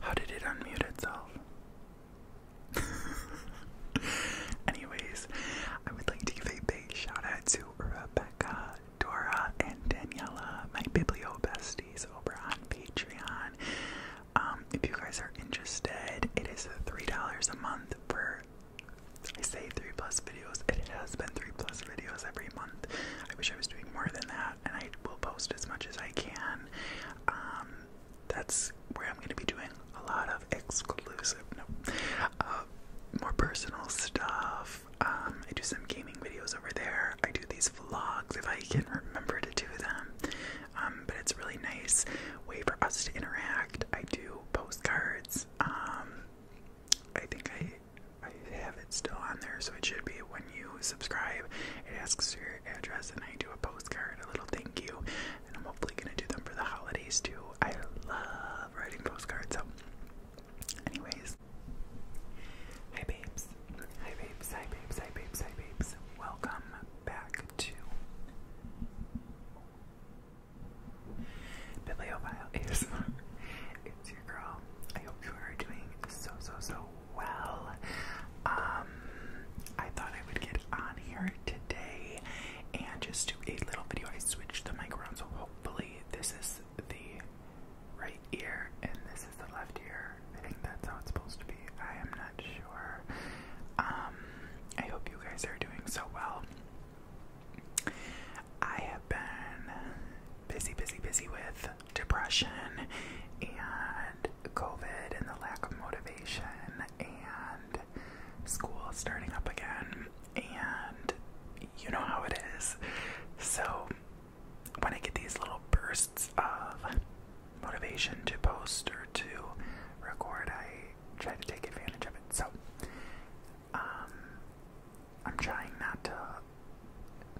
How did it unmute itself? Anyways, I would like to give a big shout out to Rebecca, Dora, and Daniela, my biblio besties over on Patreon. Um, if you guys are interested, it is three dollars a month for I say three plus videos. It has been three plus videos every month. I wish I was doing more than that, and I will post as much as I can. Um, that's where I'm going to be doing a lot of exclusive, no, uh, more personal stuff. Um, I do some gaming videos over there. I do these vlogs if I can remember to do them. Um, but it's a really nice way for us to interact. I do postcards. Um, I think I I have it still on there, so it should be when you subscribe. It asks your address, and I do a postcard, a little thank you, and I'm hopefully gonna do them for the holidays too. I love writing postcards. So, anyways, hi babes. Hi babes, hi babes, hi babes, hi babes. Welcome back to Bibliophile ASMR. It's your girl. I hope you are doing so, so, so well. Um, I thought I would get on here today and just do a little video. I switched the mic around, so hopefully this is the right ear and this is the left ear. I think that's how it's supposed to be. I am not sure. Um, I hope you guys are doing so well. I have been busy, busy, busy with depression and COVID and the lack of motivation and school starting up again. And you know how it is. So, when I get these little bursts of motivation to post or to record, I try to take advantage of it. So, um, I'm trying not to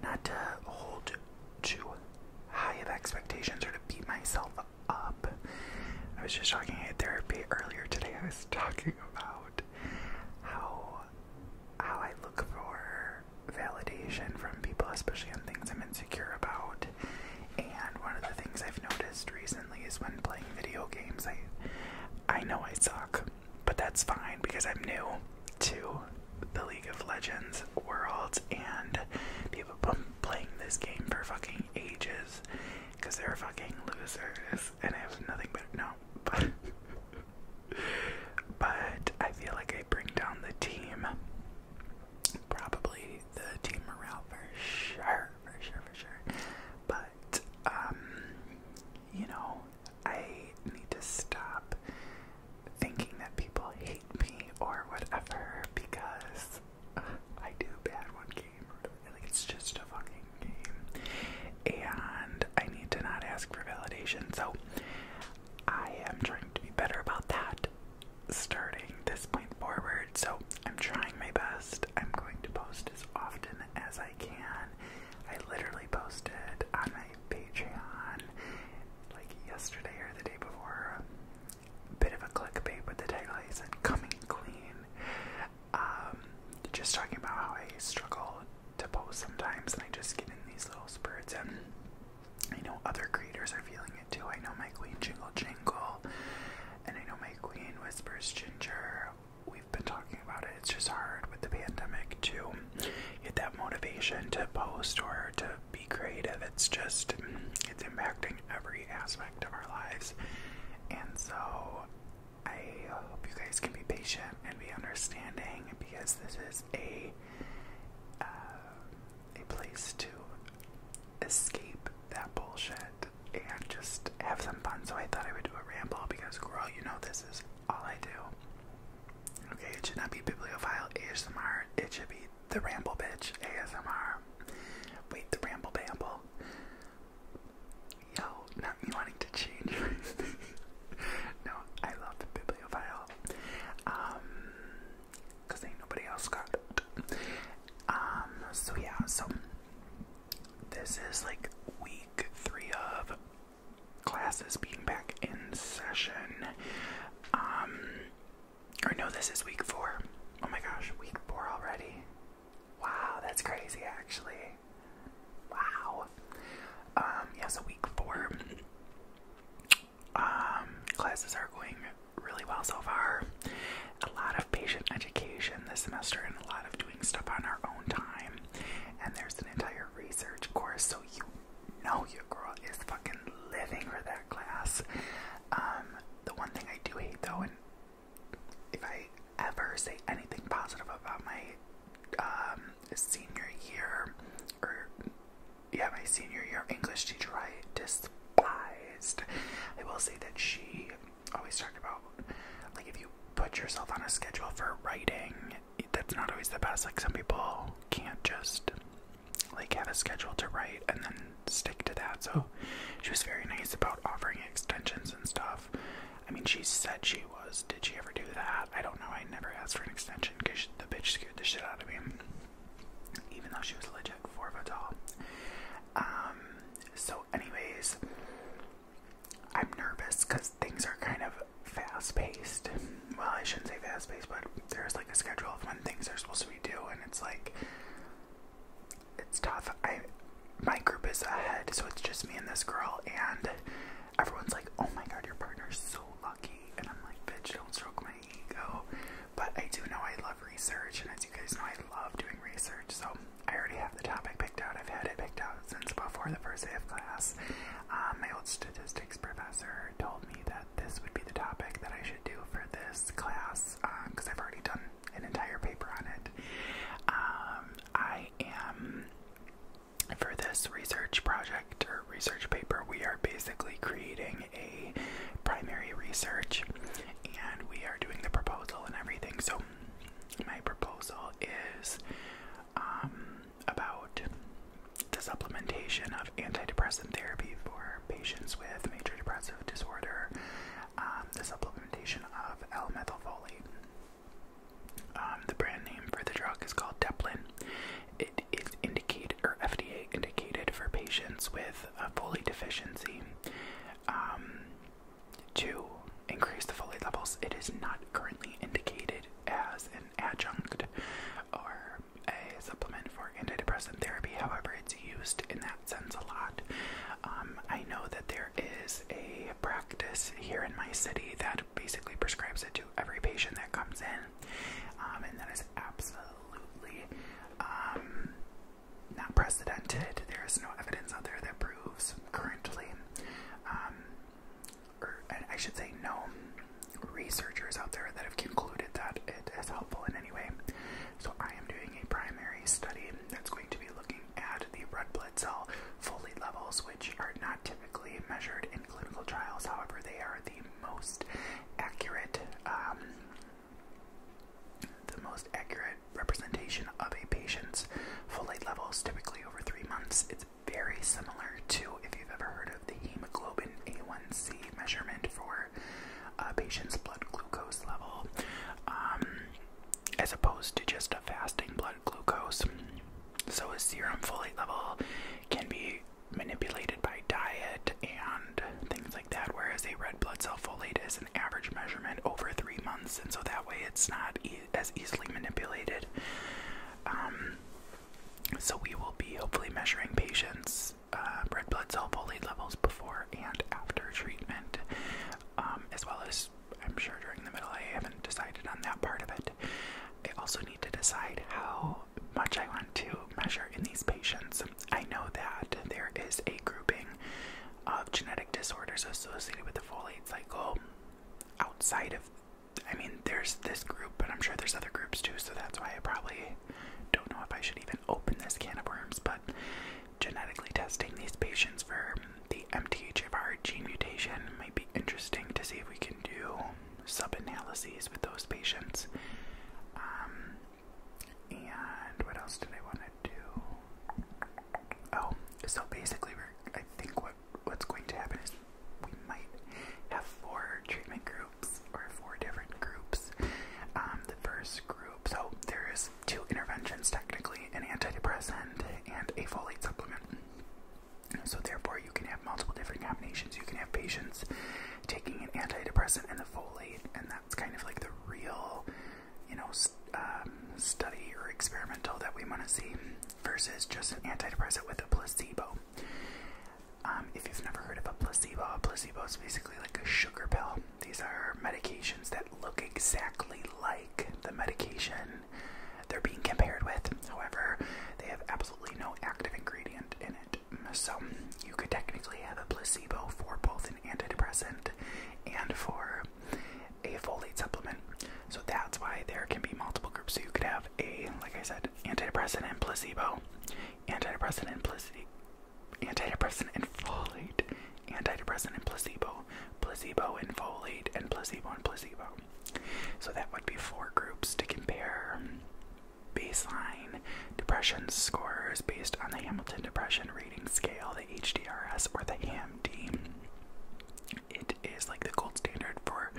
not to hold too high of expectations or to beat myself up. I was just talking at therapy earlier today. I was talking about how how I look for validation from people, especially on things I'm insecure about, and one of the things I've noticed recently is when playing video games, I I know I suck, but that's fine because I'm new to the League of Legends world and people have been playing this game for fucking ages because they're fucking losers and I have nothing but no but I feel like I bring down the team probably the team morale for sure, for sure, for sure. But um, you know, I need to stop thinking that people hate me or whatever because I do bad one game. I Like it's just a fucking game, and I need to not ask for validation. So I am trying to be better about that starting this point forward. So I'm trying my best. I'm going to post as often as I can. I literally posted on my Patreon like yesterday or the day before. A bit of a clickbait with the title I said coming clean. Um, just talking about how I struggle to post sometimes and I just get in these little spurts and I know other creators are feeling it too. I know my queen Jingle Jingle, and I know my queen Whispers Ginger. We've been talking about it. It's just hard with the pandemic to get that motivation to post or to be creative. It's just, it's impacting every aspect of our lives. And so, I hope you guys can be patient and be understanding because this is a uh, a place to escape that bullshit and just have some fun. So I thought I would do a ramble because, girl, you know this is all I do. Okay, it should not be bibliophile ASMR. It should be the ramble bitch ASMR. Wait, the ramble bamble. Yo, not me wanting to change. no, I love bibliophile. Um, Cause ain't nobody else got Um, so yeah, so this is like week three of classes being back in session. Um or no, this is week four. Oh my gosh, week four already. Wow, that's crazy actually. Wow. Um, yeah, so week four um, classes are going really well so far. A lot of patient education this semester and a lot of doing stuff on our own time. And there's an entire research course, so you know your girl is fucking living for that class. Um, the one thing I do hate though, and if I ever say anything positive about my um, senior year or yeah, my senior year English teacher I despised. I will say that she always talked about like if you put yourself on a schedule for writing, that's not always the best. Like some people can't just like have a schedule to write and then stick to that. So she was very nice about offering extensions and stuff. I mean, she said she was. Did she ever do that? I don't know. I never asked for an extension because the bitch scared the shit out of me. Even though she was legit for Vidal. Um, so, anyways, I'm nervous because things are kind of fast paced. Well, I shouldn't say fast paced, but there's like a schedule of when things are supposed to be due, and it's like it's tough. I my group is ahead, so it's just me and this girl, and everyone's like, "Oh my god, your partner's so lucky," and I'm like, "Bitch, don't stroke my my ego, but I do know I love research, and as you guys know, I love doing research, so I already have the topic picked out. I've had it picked out since before the first day of class. Um, my old statistics professor told me that this would be the topic that I should do for this class because um, I've already done an entire paper on it. Um, I am for this research project or research paper, we are basically creating a primary research and we are doing the proposal and everything. So, my proposal is um, about the supplementation of antidepressant therapy for patients with major depressive disorder, um, the supplementation of L methylfolate. Um, the brand name for the drug is called Deplin. It is indicated or FDA indicated for patients with folate deficiency um, to increase the folate levels. It is not currently indicated as an adjunct or a supplement for antidepressant therapy. However, it's used in that sense a lot. Um, I know that there is a practice here in my city that basically prescribes it to every patient that comes in, um, and that is absolutely um, not precedented. There is no evidence out there that proves currently, um, or I should say, no researchers out there that have concluded that it is helpful in any way. So I am doing a primary study that's going to be looking at the red blood cell folate levels, which are not typically measured in clinical trials. However, they are the most accurate um, the most accurate representation of a patient's folate levels, typically over three months, it's very similar to if you've ever heard of the hemoglobin A1C measurement for a patient's blood glucose level, um, as opposed to just a fasting blood glucose. So a serum folate level can be manipulated by diet and things like that, whereas a red blood cell folate is an average measurement over three months, and so that way it's not as easily manipulated. Um, so we will be hopefully measuring patients' uh, red blood cell folate levels before and after treatment, um, as well as I'm sure during the middle. I haven't decided on that part of it. I also need to decide how much I want to measure in these patients. I know that there is a grouping of genetic disorders associated with the folate cycle outside of, I mean, there's this group, but I'm sure there's other groups too, so that's why I probably don't know if I should even open this can of worms, but genetically testing these patients for the MTHFR gene mutation might be interesting to see if we can do sub analyses with those patients. Um, and what else did I want to do? Oh, so basically, we're, I think what what's going to happen is we might have four treatment groups or four different groups. Um, the first group, so there is two interventions technically, an antidepressant and a folate supplement. So therefore, you can have multiple different combinations. You can have patients taking an antidepressant and the folate, and that it's kind of like the real, you know, um, study or experimental that we want to see versus just an antidepressant with a placebo. Um, if you've never heard of a placebo, a placebo is basically like a sugar pill. These are medications that look exactly like the medication they're being compared with. However, they have absolutely no active ingredient in it. So you could technically have a placebo for both an antidepressant and for a folate supplement. So that's why there can be multiple groups. So you could have a, like I said, antidepressant placebo, antidepressant and placebo, antidepressant and folate, antidepressant and placebo, placebo and folate, and placebo and placebo. So that would be four groups to compare baseline depression scores based on the Hamilton Depression Rating Scale, the HDRS, or the AMD. It is like the gold standard for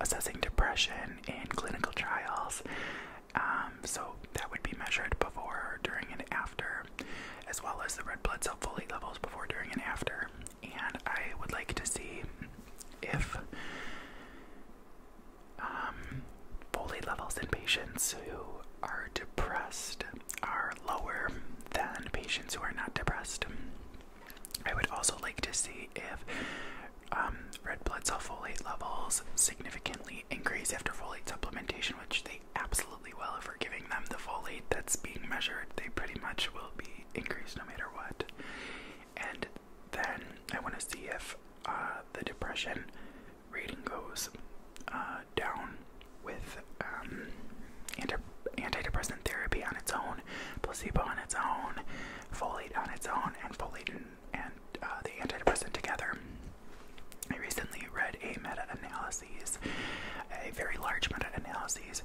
assessing depression in clinical trials. Um, so that would be measured before, during, and after, as well as the red blood cell folate levels before, during, and after. And I would like to see if folate um, levels in patients who are depressed are lower than patients who are not depressed. I would also like to see if um, red blood cell folate levels significantly increase after folate supplementation, which they absolutely will. If we're giving them the folate that's being measured, they pretty much will be increased no matter what. And then I want to see if uh, the depression rating goes uh, down with um, anti antidepressant therapy on its own, placebo on its own, folate on its own, and folate and, uh, the antidepressant together. I recently read a meta-analysis, a very large meta-analysis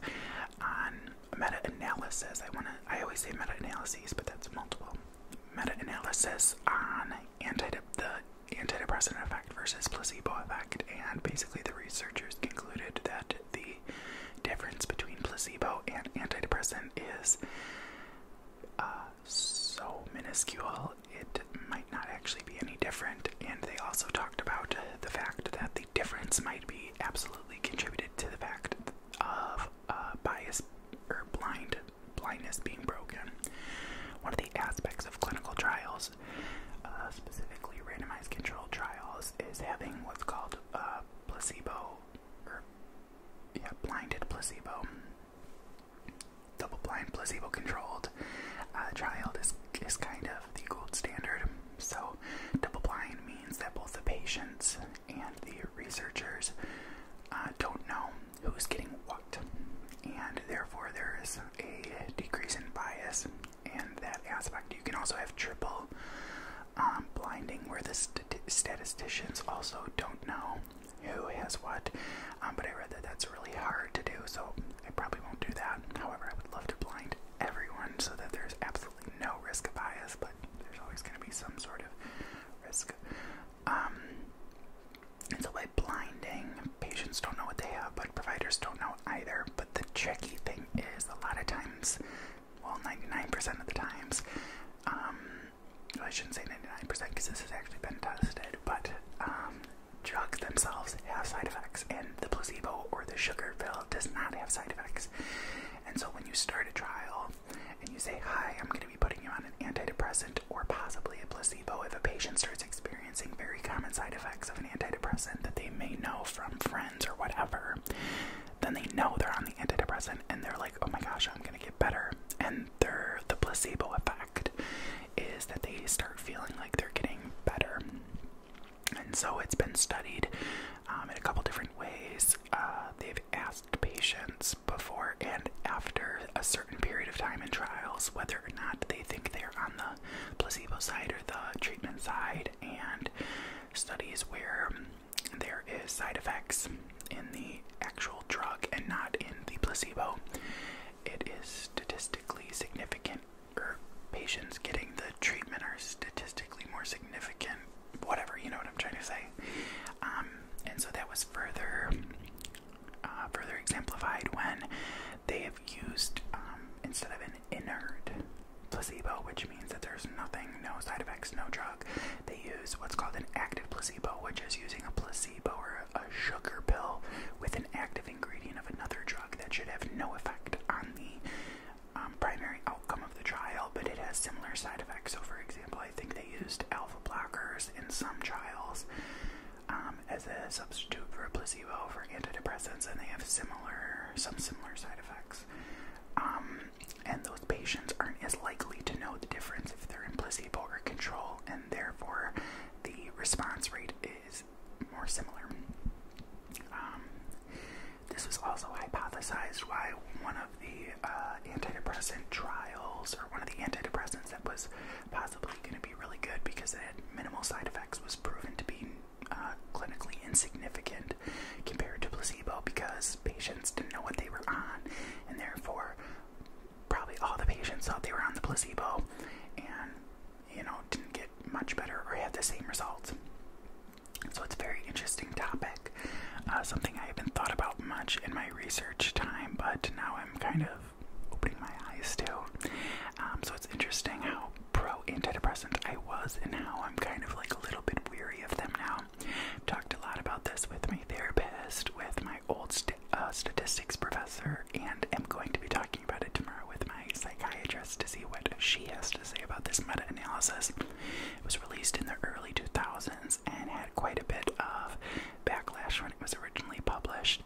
on meta-analysis. I want to. I always say meta-analyses, but that's multiple meta-analysis on anti the antidepressant effect versus placebo effect, and basically the researchers concluded that the difference between placebo and antidepressant is uh, so minuscule it might not actually be any different. And they also talked about the fact that the difference might be absolutely contributed to the fact of uh, bias or blind blindness being broken. One of the aspects of clinical trials, uh, specifically randomized controlled trials, is having what's called uh, placebo or yeah, blinded placebo, double blind placebo controlled uh, trial is, is kind of the gold standard. So, double blind means that both the patients and the researchers uh, don't know who's getting what, and therefore there is a decrease in bias in that aspect. You can also have triple um, blinding where the statisticians also don't know who has what, um, but I read that that's really hard to do, so I probably won't do that. However, I would love to blind everyone so that there's absolutely no risk of bias, but there's always going to be some sort of risk. Um, it's a by blinding, patients don't know what they have, but providers don't know either. But the tricky thing is, a lot of times, well, 99% of the times, um, I shouldn't say 99% because this has actually been tested, but um, drugs themselves have side effects, and the placebo or the sugar pill does not have side effects. And so when you start a trial and you say, Hi, I'm going to be putting you on an antidepressant, or possibly a placebo if a patient starts experiencing very common side effects of an antidepressant that they may know from friends or whatever. Then they know they're on the antidepressant and they're like, oh my gosh, I'm gonna get better. And the placebo effect is that they start feeling like they're getting better. And so it's been studied um, in a couple different ways. Uh, they've asked patients before and after a certain period of time in trials whether or not they think they're on the placebo side or the treatment side, and studies where there is side effects in the actual drug and not in the placebo. It is statistically significant, or patients getting the treatment are statistically more significant, whatever, you know what I'm trying to say. Um, and so that was further uh, further exemplified when they have used, um, instead of an inert placebo, which means that there's nothing, no side effects, no drug, they use what's called an active placebo, which is using a placebo or a sugar pill with an active ingredient of another drug that should have no effect on the um, primary outcome of the trial, but it has similar side effects. So, for example, I think they used alpha blockers in some trials um, as a substitute for a placebo for antidepressants, and they have similar, some similar side effects. Um, and those patients aren't as likely to know the difference if they're in placebo or control, and therefore the response rate is more similar. Um, this was also hypothesized why one of the uh, antidepressant trials, or one of the antidepressants that was possibly probably going to be really good because it had minimal side effects, was proven to be uh, clinically insignificant compared to placebo because patients didn't know what they were on, and therefore, probably all the patients thought they were on the placebo and, you know, didn't get much better or had the same results. So it's a very interesting topic, uh, something I haven't thought about much in my research time, but now I'm kind of opening my eyes to. Um, so it's interesting how pro antidepressant I was and how I'm kind of like a little bit weary of them now. I've talked a lot about this with my therapist, with my old uh, statistics professor, and am going to be talking about it tomorrow with my psychiatrist to see what she has to say about this meta analysis. It was released in the early 2000s and had quite a bit of backlash when it was originally published.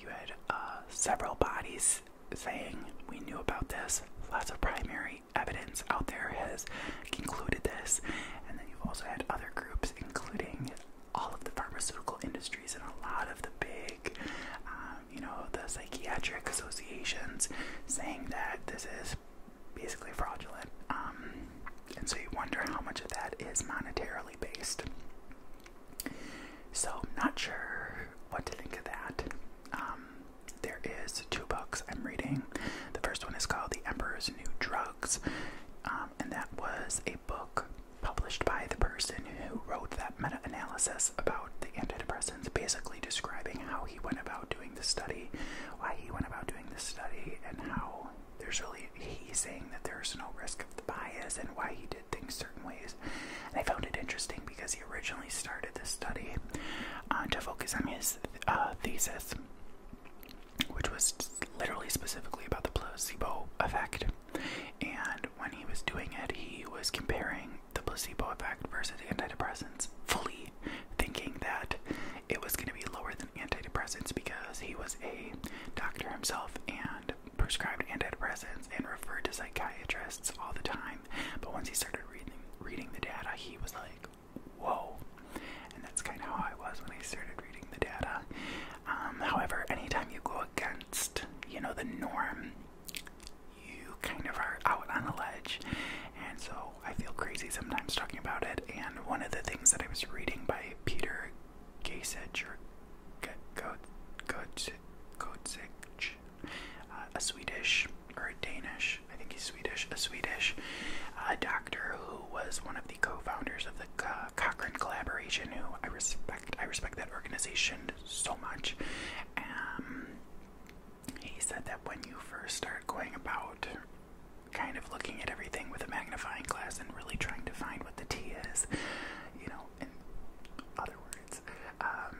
You had uh, several bodies saying we knew about this. Lots of primary evidence out there has concluded this. And then you've also had other groups, including all of the pharmaceutical industries and a lot of the big, um, you know, the psychiatric associations saying that this is basically fraudulent. Um, and so you wonder how much of that is monetarily based. So I'm not sure what to think of that. Um, there is two books I'm reading. The first one is called The Emperor's New Drugs, um, and that was a book published by the person who wrote that meta-analysis about the antidepressants, basically describing how he went about doing the study, why he went about doing the study, and how there's really he's saying that there's no risk of the bias and why he did things certain ways. I found it interesting because he originally started this study uh, to focus on his uh, thesis, which was literally specifically about the placebo effect. And when he was doing it, he was comparing the placebo effect versus antidepressants, fully thinking that it was going to be lower than antidepressants because he was a doctor himself and and prescribed antidepressants and referred to psychiatrists all the time. But once he started reading reading the data, he was like, "Whoa!" And that's kind of how I was when I started reading the data. Um, however, anytime you go against, you know, the norm, you kind of are out on a ledge, and so I feel crazy sometimes talking about it. And one of the things that I was reading by Peter Gasich or uh, a Swedish or a Danish, I think he's Swedish, a Swedish uh, doctor who was one of the co-founders of the Cochrane Collaboration. Who I respect, I respect that organization so much. Um, he said that when you first start going about kind of looking at everything with a magnifying glass and really trying to find what the T is, you know, in other words. Um,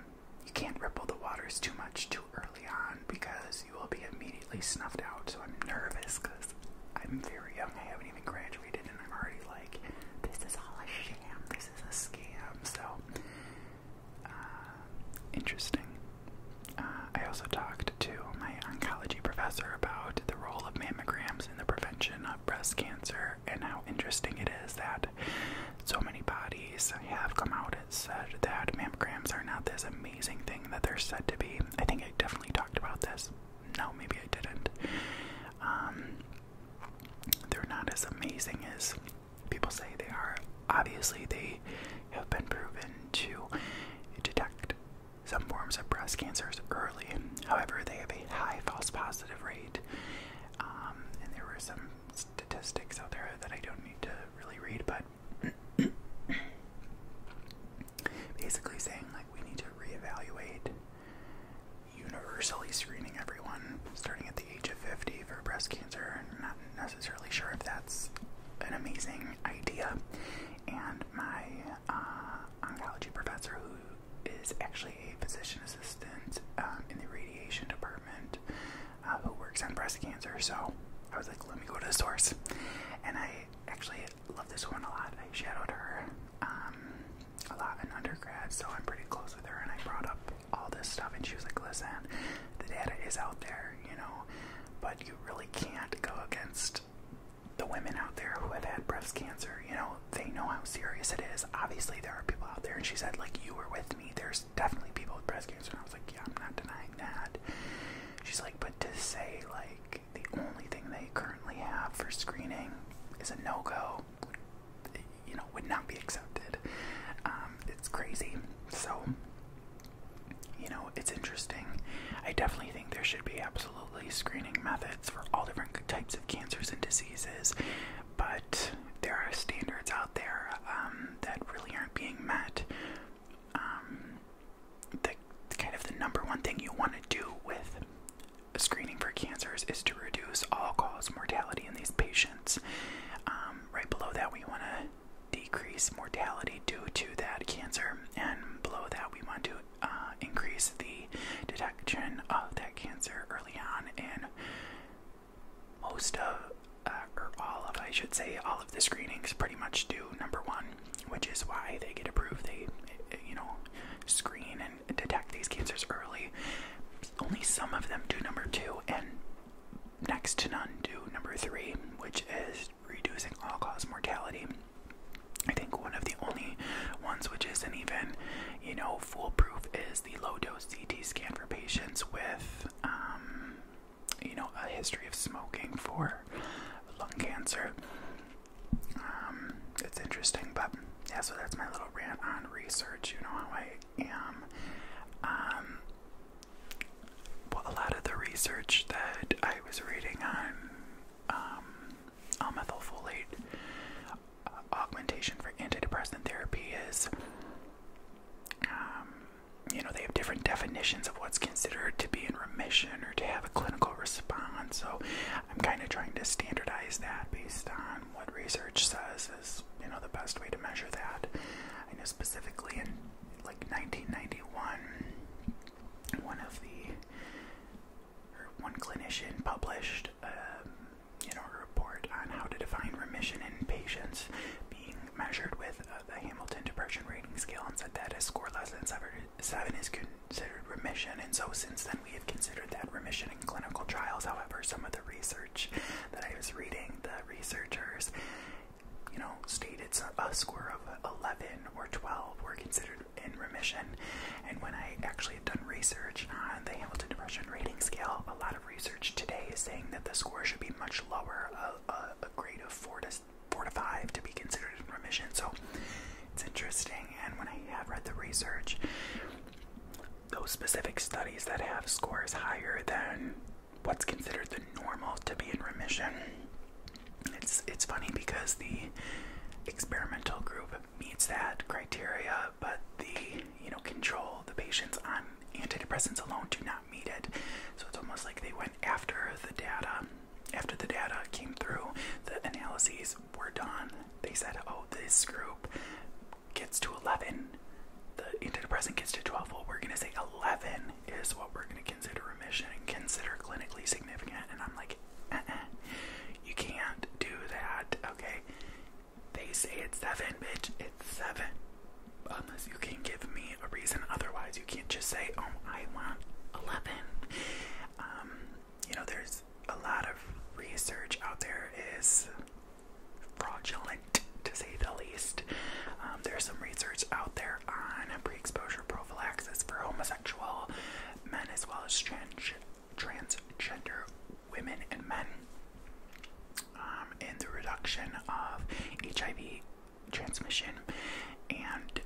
you can't ripple the waters too much too early on because you will be immediately snuffed out. So I'm nervous because I'm very young. I haven't even graduated and I'm already like, this is all a sham. This is a scam. So, uh, interesting. Uh, I also talked to my oncology professor about the role of mammograms in the prevention of breast cancer and how interesting it is that so many bodies have come out and said that mammograms are not this amazing thing that they're said to be. I think I definitely talked about this. No, maybe I didn't. Um, they're not as amazing as people say they are. Obviously, they have been proven to detect some forms of breast cancers early. However, they have a high false positive positive rate. Um, and there were some statistics out there that I don't need to really read, but basically saying like we need to reevaluate universally screening everyone starting at the age of 50 for breast cancer. I'm not necessarily sure if that's an amazing idea. And my uh, oncology professor who is actually a physician assistant um, in the radiation department uh, who works on breast cancer. So I was like, let me go to the source. And I actually love this woman a lot. I shadowed her um, a lot in undergrad, so I'm pretty close with her. And I brought up all this stuff, and she was like, listen, the data is out there, you know, but you really can't go against the women out there who have had breast cancer, you know, they know how serious it is. Obviously, there are people out there, and she said, like, you were with me. There's definitely people with breast cancer. And I was like, yeah, I'm not denying that. She's like, but to say, like, the only thing they currently have for screening is a no go, you know, would not be accepted. Um, it's crazy. So, you know, it's interesting. I definitely think there should be absolutely screening methods for all different types of cancers and diseases, but there are standards out there um, that really aren't being met. Um, the kind of the number one thing you want to do with screening for cancers is to reduce all-cause mortality in these patients. Um, right below that, we want to decrease mortality due to that cancer, and below that, we want to uh, increase the detection of that cancer early on, and most of, uh, or all of, I should say, all of the screenings pretty much do number one, which is why they get approved. They, you know, screen and detect these cancers early. Only some of them do number two, and next to none do number three, which is reducing all cause mortality. I think one of the only ones which isn't even you know, foolproof is the low dose CT scan for patients with, um, you know, a history of smoking for lung cancer. Um, it's interesting, but yeah, so that's my little rant on research. You know how I am. Um, a lot of the research that I was reading on um, methylfolate augmentation for antidepressant therapy is. Um, you know, they have different definitions of what's considered to be in remission or to have a clinical response. So I'm kind of trying to standardize that based on what research says is, you know, the best way to measure that. I know specifically in like 1991, one of the, one clinician published published um, you know, a report on how to define remission in patients being measured with uh, the Hamilton Depression Rating Scale and said that a score less than seven, 7 is considered remission. And so since then we have considered that remission in clinical trials. However, some of the research that I was reading, the researchers, you know, stated a score of 11 or 12 were considered in remission. And when I actually have done research on the Hamilton Depression Rating Scale, a lot of research today is saying that the score should be much lower, a, a, grade of four to four to five, to be considered in remission. So it's interesting. And when I have read the research, those specific studies that have scores higher than what's considered the normal to be in remission. It's it's funny because the experimental group meets that criteria, but the you know control the patients on antidepressants alone do not meet it. So it's almost like they went after the data. After the data came through, the analyses were done. They said, "Oh, this group gets to 11." The antidepressant gets to 12. Well, we're gonna say 11 is what we're gonna consider remission and consider clinically significant. And I'm like, uh-uh. you can't do that. Okay, they say it's seven, bitch. It's seven. Unless you can give me a reason otherwise. You can't just say, oh, I want 11. Um, you know, there's a lot of research out there is fraudulent, to say the least. Um, there's some research out there on pre exposure prophylaxis for homosexual men as well as trans transgender women and men um, in the reduction of HIV transmission. And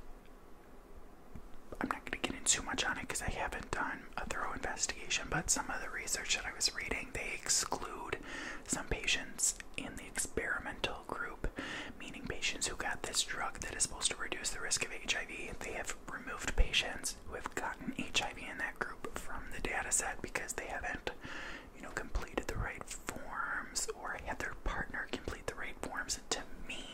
I'm not going to get into much on it because I haven't done a thorough investigation, but some of the research that I was reading, they exclude some patients in the experimental group, meaning patients who got this drug that is supposed to reduce the risk of HIV. They have removed patients patients who have gotten HIV in that group from the data set because they haven't, you know, completed the right forms or had their partner complete the right forms. To me,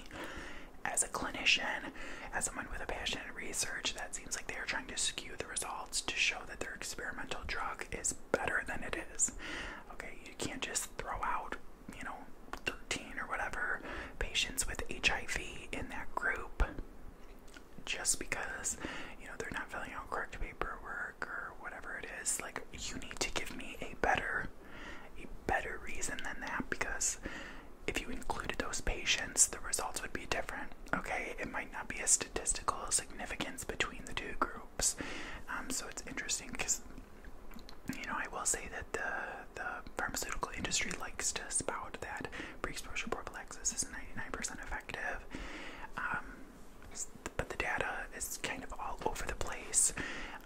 as a clinician, as someone with a passion in research, that seems like they are trying to skew the results to show that their experimental drug is better than it is. Okay, you can't just throw out, you know, 13 or whatever patients with HIV in that group just because you know they're not filling out correct paperwork or whatever it is like you need to give me a better a better reason than that because if you included those patients the results would be different okay it might not be a statistical significance between the two groups um, so it's interesting because you know i will say that the the pharmaceutical industry likes to spout that pre-exposure prophylaxis this is 99% effective. Um, but the data is kind of all over the place.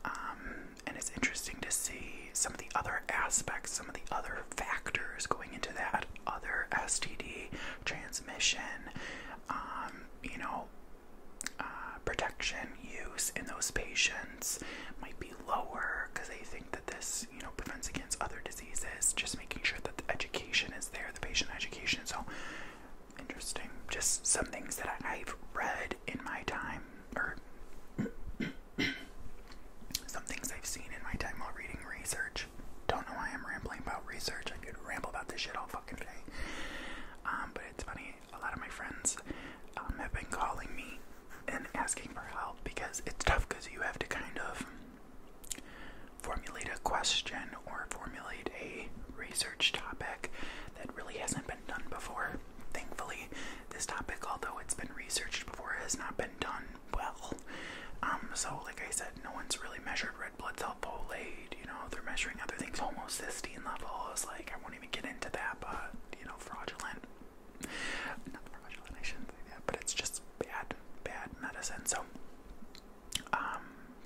Um, and it's interesting to see some of the other aspects, some of the other factors going into that other STD transmission, um, you know, uh, protection use in those patients might be lower because they think that this, you know, prevents against other diseases, just making sure that the education is there, the patient education. So interesting. Just some things that I've read in my time, or some things I've seen in my time while reading research. Don't know why I'm rambling about research. I could ramble about this shit all fucking day. Um, but it's funny, a lot of my friends um, have been calling me and asking for help because it's tough because you have to kind of formulate a question or formulate a research topic that really hasn't been done before. Thankfully, this topic, although it's been researched before, has not been done well. Um, so, like I said, no one's really measured red blood cell folate. You know, they're measuring other things, homocysteine levels. Like, I won't even get into that, but you know, fraudulent not professional, I shouldn't but it's just bad, bad medicine. So, um,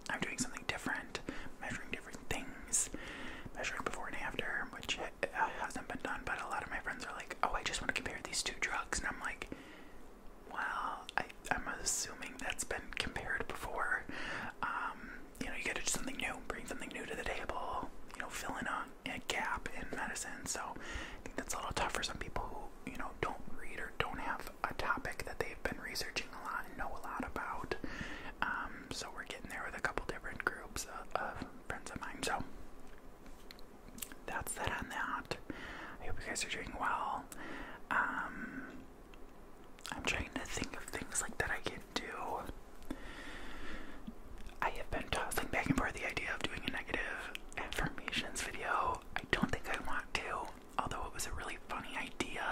I'm doing something different, measuring different things, measuring before and after, which uh, hasn't been done. But a lot of my friends are like, "Oh, I just want to compare these two drugs," and I'm like, "Well, I, am assuming that's been compared before." Um, you know, you got to do something new, bring something new to the table. You know, fill in a a gap in medicine. So I think that's a little tough for some people who, you know, don't read or don't have a topic that they've been researching a lot and know a lot about. Um, so we're getting there with a couple different groups of, friends of mine. So that's that on that. I hope you guys are doing well. Um, I'm trying to think of things like that I can do. I have been tossing back and forth the idea of doing a negative affirmations video. I don't think I want to, although it was a really funny idea.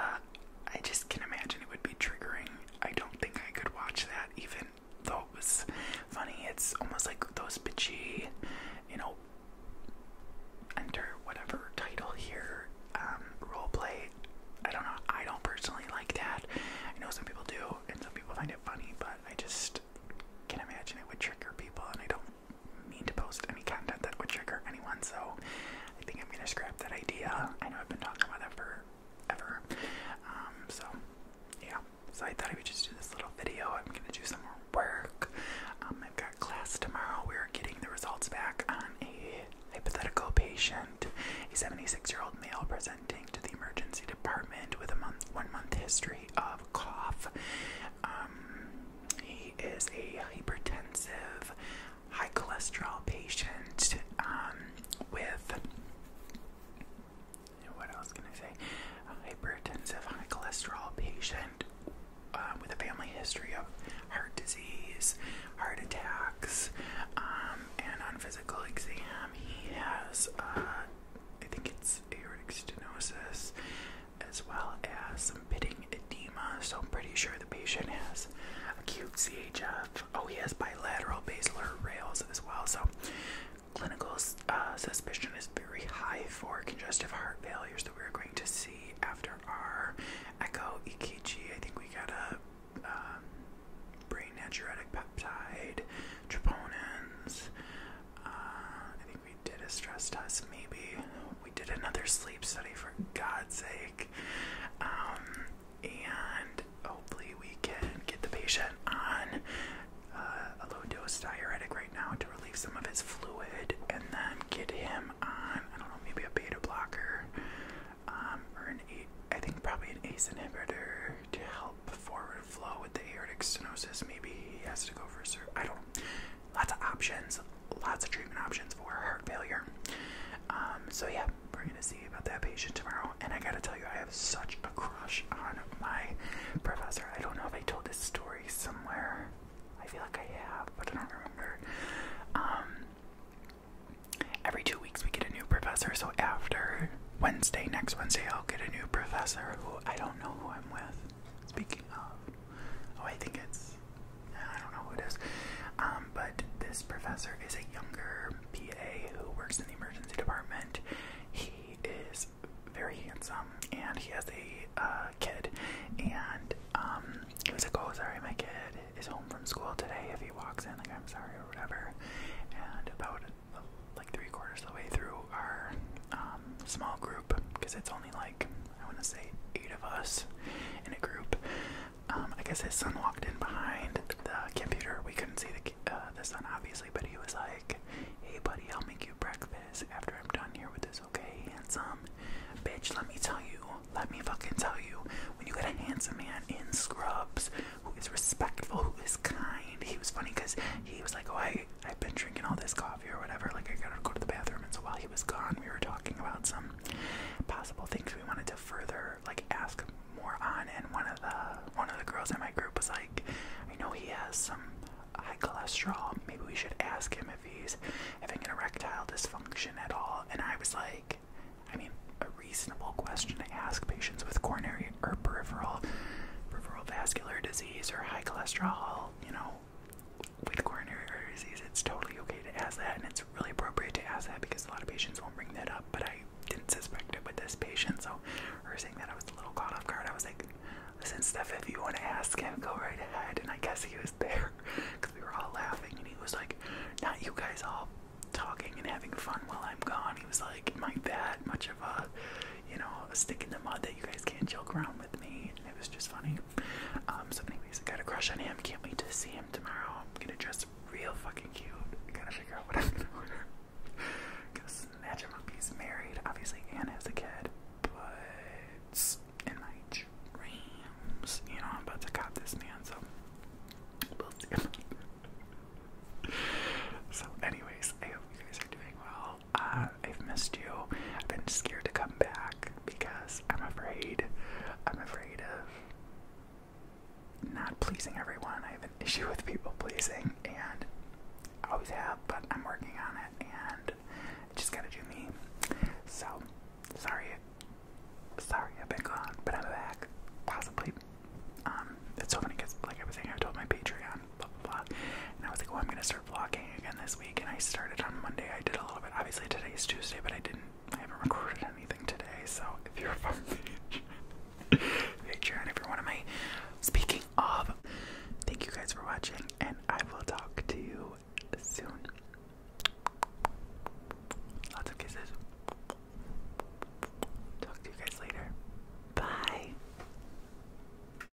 I just can not imagine it would be triggering. I don't think I could watch that, even though it was funny. It's almost like those bitchy, you know, enter whatever title here, um, role play. I don't know. I don't personally like that. I know some people do, and some people find it funny, but I just just can imagine it would trigger people, and I don't mean to post any content that would trigger anyone, so I think I'm gonna scrap that idea. I know I've been talking about that for ever. Um, so yeah, so I thought I would just do this little video. I'm gonna do some more work. Um, I've got class tomorrow. We're getting the results back on a hypothetical patient, a 76 year old male presenting to the emergency department with a month, one month history of cough um, he is a hypertensive, high cholesterol patient um, with. What else can I say? A hypertensive, high cholesterol patient um, with a family history of heart disease, heart attacks, and on physical exam, he has uh, I think it's aortic stenosis, as well as some pitting edema. So I'm pretty sure the patient has acute CHF. Oh, he has bilateral basilar rales as well. So clinical uh, suspicion is very high for congestive heart failure. So we're going to see after our echo EKG. I think we got a um, brain natriuretic peptide, troponins. Uh, we did a stress test, maybe. We did another sleep study for God's sake. Um, and hopefully, we can get the patient on uh, a low dose diuretic right now to relieve some of his fluid and then get him on, I don't know, maybe a beta blocker um, or an, a I think probably an ACE inhibitor to help forward Flow with the aortic stenosis. Maybe he has to go for a surgery. I don't. Lots of options. Lots of treatment options for heart failure. Um, so yeah, we're gonna see about that patient tomorrow. And I gotta tell you, I have such a crush on my professor. I don't know if I told this story somewhere. I feel like I have, but I don't remember. Um, every two weeks we get a new professor. So after Wednesday, next Wednesday, I'll get a new professor who I don't know who I'm with. Speaking of, oh, I think it's, I don't know who it is, um, but this professor is a younger PA who works in the emergency department. He is very handsome, and he has a uh, kid, and um, he was like, "Oh, sorry, my kid is home from school today. If he walks in, like, I'm sorry or whatever." And about like three quarters of the way through our um, small group because it's only like I want to say eight of us in a group. Um, I guess his son walked in behind the computer. We couldn't see the uh, the son obviously, but he was like, "Hey buddy, I'll make you breakfast after I'm done here with this, okay, handsome bitch? Let me tell you, let me fucking tell you, when you get a handsome man in scrubs who is respectful, who is kind, he was funny because he was like, oh I have been drinking all this coffee or whatever. Like I gotta go to the bathroom, and so while he was gone, we were talking about some possible things we wanted to further like ask more on. And one of the one of the girls in my group was like, I know he has some high cholesterol. Maybe we should ask him if he's having an erectile dysfunction at all. And I was like, I mean, a reasonable question to ask patients with coronary or peripheral peripheral vascular disease or high cholesterol, you know, with coronary artery disease, it's totally okay to ask that, and it's really appropriate to ask that because a lot of patients won't bring that up. But I didn't suspect it with this patient, so her saying that I was a little caught off guard. I was like, "Listen, Steph, if you want to ask him, go right ahead." And I guess he was there because we were all laughing, and he was like, "Not you guys all talking and having fun while I'm gone." He was like, "My bad, much of a you know, stick in the mud that you guys can't joke around with me. it was just funny. Um, so anyways, got a crush on him. Can't wait to see him tomorrow. I'm gonna dress real fucking cute. gotta figure out what I'm gonna order. gonna snatch him up. He's married, obviously, and has a kid. But in you know, I'm about to cop this man, so we'll see. so anyways, I hope you guys are doing well. Uh, I've missed you. I've been scared to come back because I'm afraid. I'm afraid of not pleasing everyone. I have an issue with people pleasing, and I always have, but I'm working on it, and I just gotta do me. So, sorry. Sorry, I've been gone, but I'm back. Possibly. Um, it's so funny because, like I was saying, I told my Patreon blah blah blah. And I was like, well, oh, I'm gonna start vlogging again this week. And I started on Monday. I did a little bit. Obviously today is Tuesday, but I didn't. I haven't recorded anything today. So if you're a from Patreon, if you're one of my speaking of, thank you guys for watching, and I will talk to you soon. Lots of kisses. Talk to you guys later. Bye.